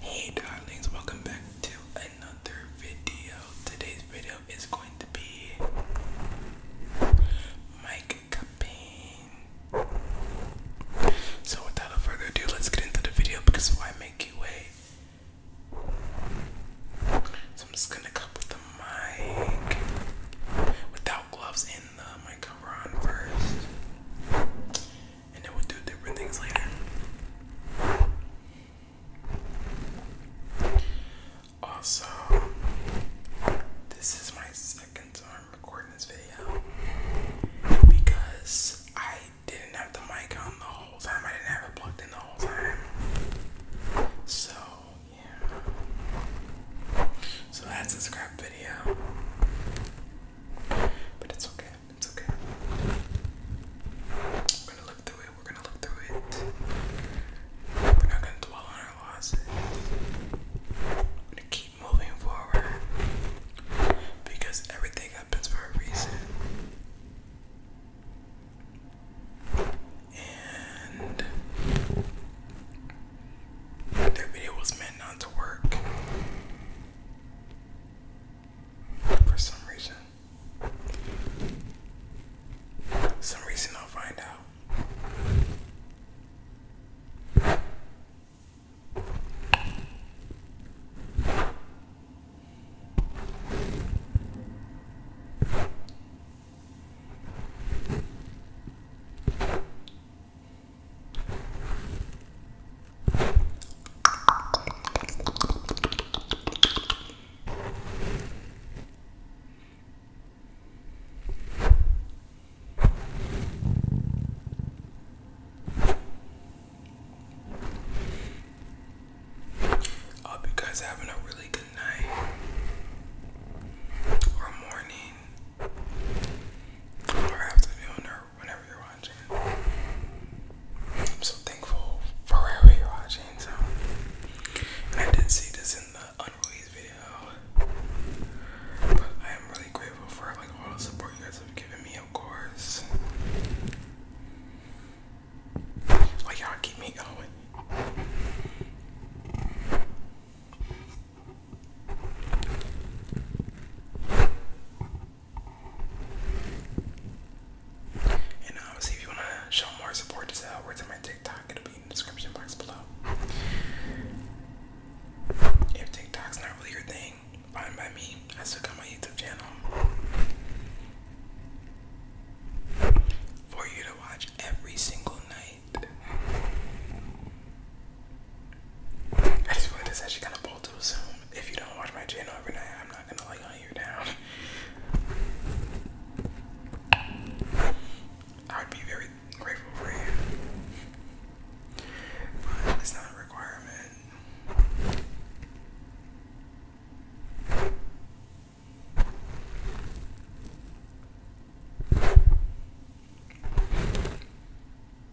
Hey darlings, welcome back to another video. Today's video is going to be Mike Capane. So without further ado, let's get into the video because why make you wait? So I'm just gonna cut with the mic without gloves in the microphone first and then we'll do different things later. Also, this is my second time recording this video because I didn't have the mic on the whole time. I didn't have it plugged in the whole time. So, yeah. So that's a scrap video. But it's okay. It's okay. We're gonna look through it. We're gonna look through it. We're not gonna dwell on our losses. We're gonna keep moving forward because everything happens for a reason. And that video was meant not to work. For some reason. Some reason I'll find out hope you guys having a really good night or morning or afternoon or whenever you're watching. I'm so thankful for wherever you're watching. So, I did see this in the unreleased video, but I am really grateful for like all the support you guys have given me, of course. Like y'all keep me going. And obviously, uh, if you want to show more support to Zell, words on my TikTok, it'll be in the description box below. If TikTok's not really your thing, fine by me. I still got my YouTube channel for you to watch every single night. I just want this actually kind of bold too soon. If you don't watch my channel every night, I'm not gonna like hunt you down. I would be very grateful for you. But it's not a requirement.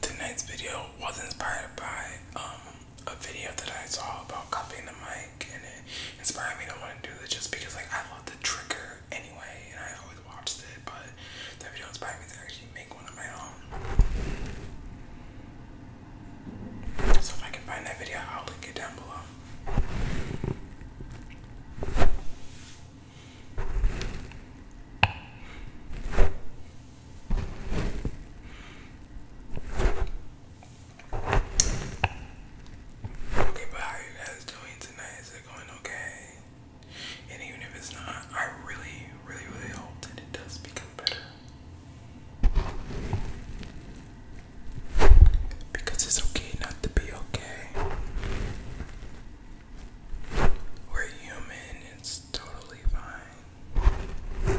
Tonight's video was inspired by um, a video that I saw about copying the mic, and it inspired me to want to do this just because, like, I love the trigger anyway, and I always watched it. But that video inspired me to actually make one of my own. So if I can find that video, I'll link it down below. Okay, but how you guys doing tonight? Is it going okay? And even if it's not, I really, really, really hope that it does because because it's okay not to be okay. We're human, it's totally fine.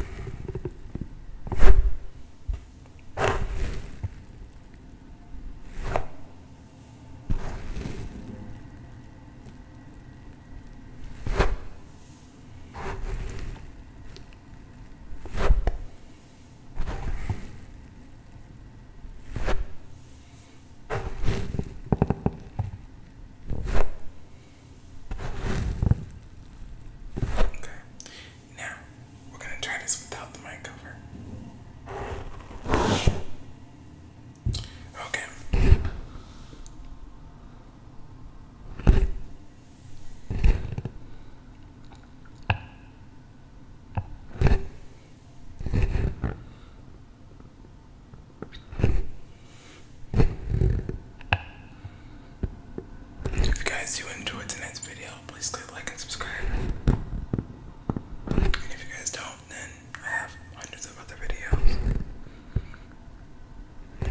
Okay, now we're going to try this without the mic cover. Okay. If you guys do enjoy tonight's video, please click like and subscribe. And if you guys don't, then I have hundreds of other videos.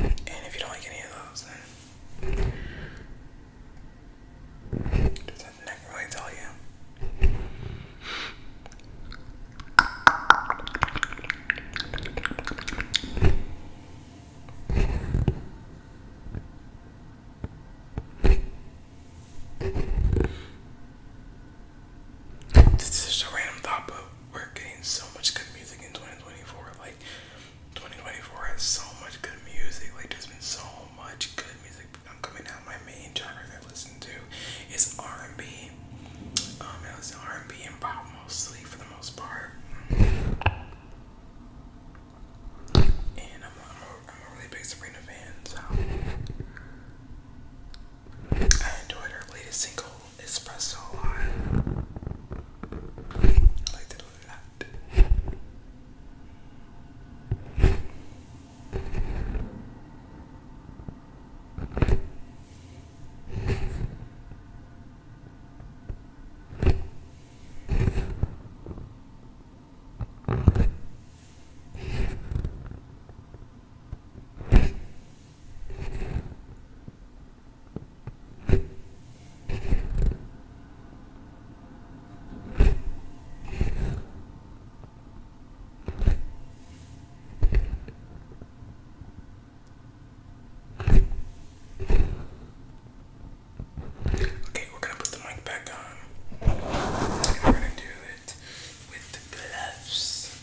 And if you don't like any of those, does that neck really tell you? This is just a random thought, but we're getting so much good music in 2024. Like, 2024 has so much good music. Like there's been so much good music I'm coming out. My main genre that I listen to is R&B. Um, I listen R&B and pop mostly for the most part. And i I'm a really big Sabrina fan, so I enjoyed her latest single, espresso on. I like to do that. Okay, we're gonna put the mic back on. we're gonna do it with the gloves.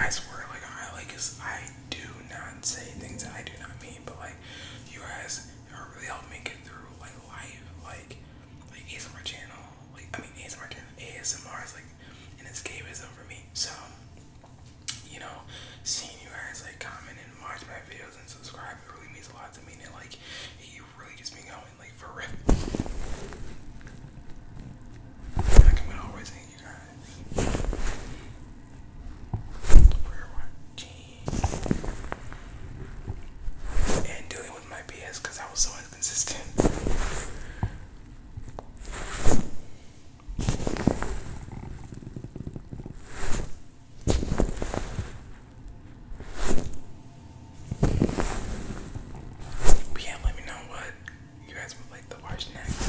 I swear, like I like is I do not say things that I do not mean, but like you guys or really helped me get through like life, like like ASMR channel, like I mean ASMR channel, ASMR is like an escapism for me. So you know, seeing you guys like comment and watch my videos and subscribe, it really means a lot to me, and it, like it really gets me going, like for I can always thank you guys for watching and dealing with my BS because I was so inconsistent. But yeah, let me know what you guys would like to watch next.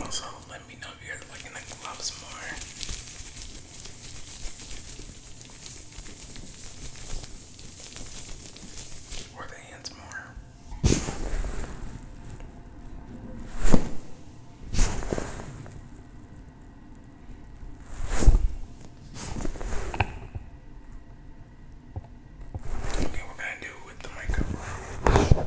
Also, let me know if you're liking the gloves more. Or the hands more. Okay, we're gonna do it with the microphone.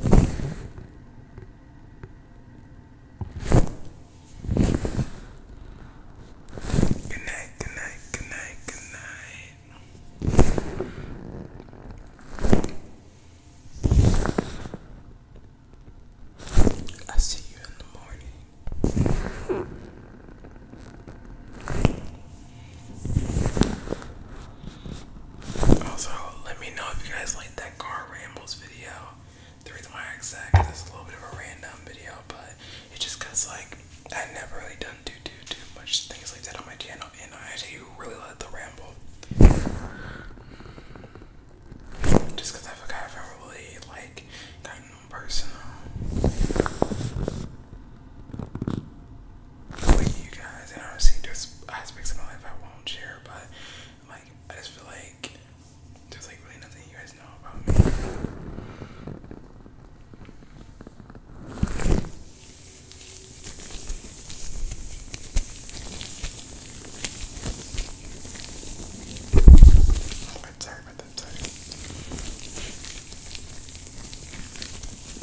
Good night, good night, good night, good night. I see you in the morning. Also, let me know if you guys like that car rambles video. The reason why I said it's a little bit of a random video, but it's just like I never really done too too too much things like that on my channel, and I actually really like the ramble. Just cause I forgot if I really like gotten personal like you guys, and obviously there's aspects of my life I won't share, but like I just feel like there's like really nothing you guys know about me.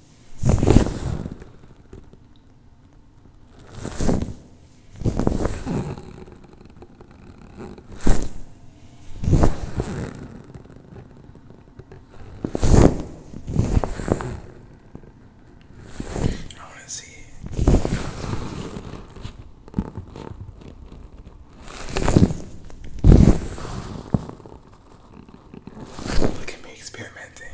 I want to see it. Look at me experimenting.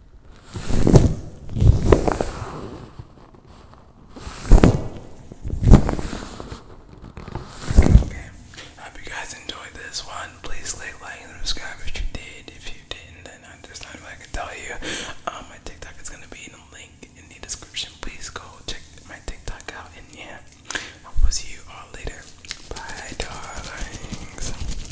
I hope you guys enjoyed this one. Please click like and subscribe if you did. If you didn't, then I, there's nothing I can tell you. Um, my TikTok is gonna be in the link in the description. Please go check my TikTok out. And yeah, I will see you all later. Bye, darlings.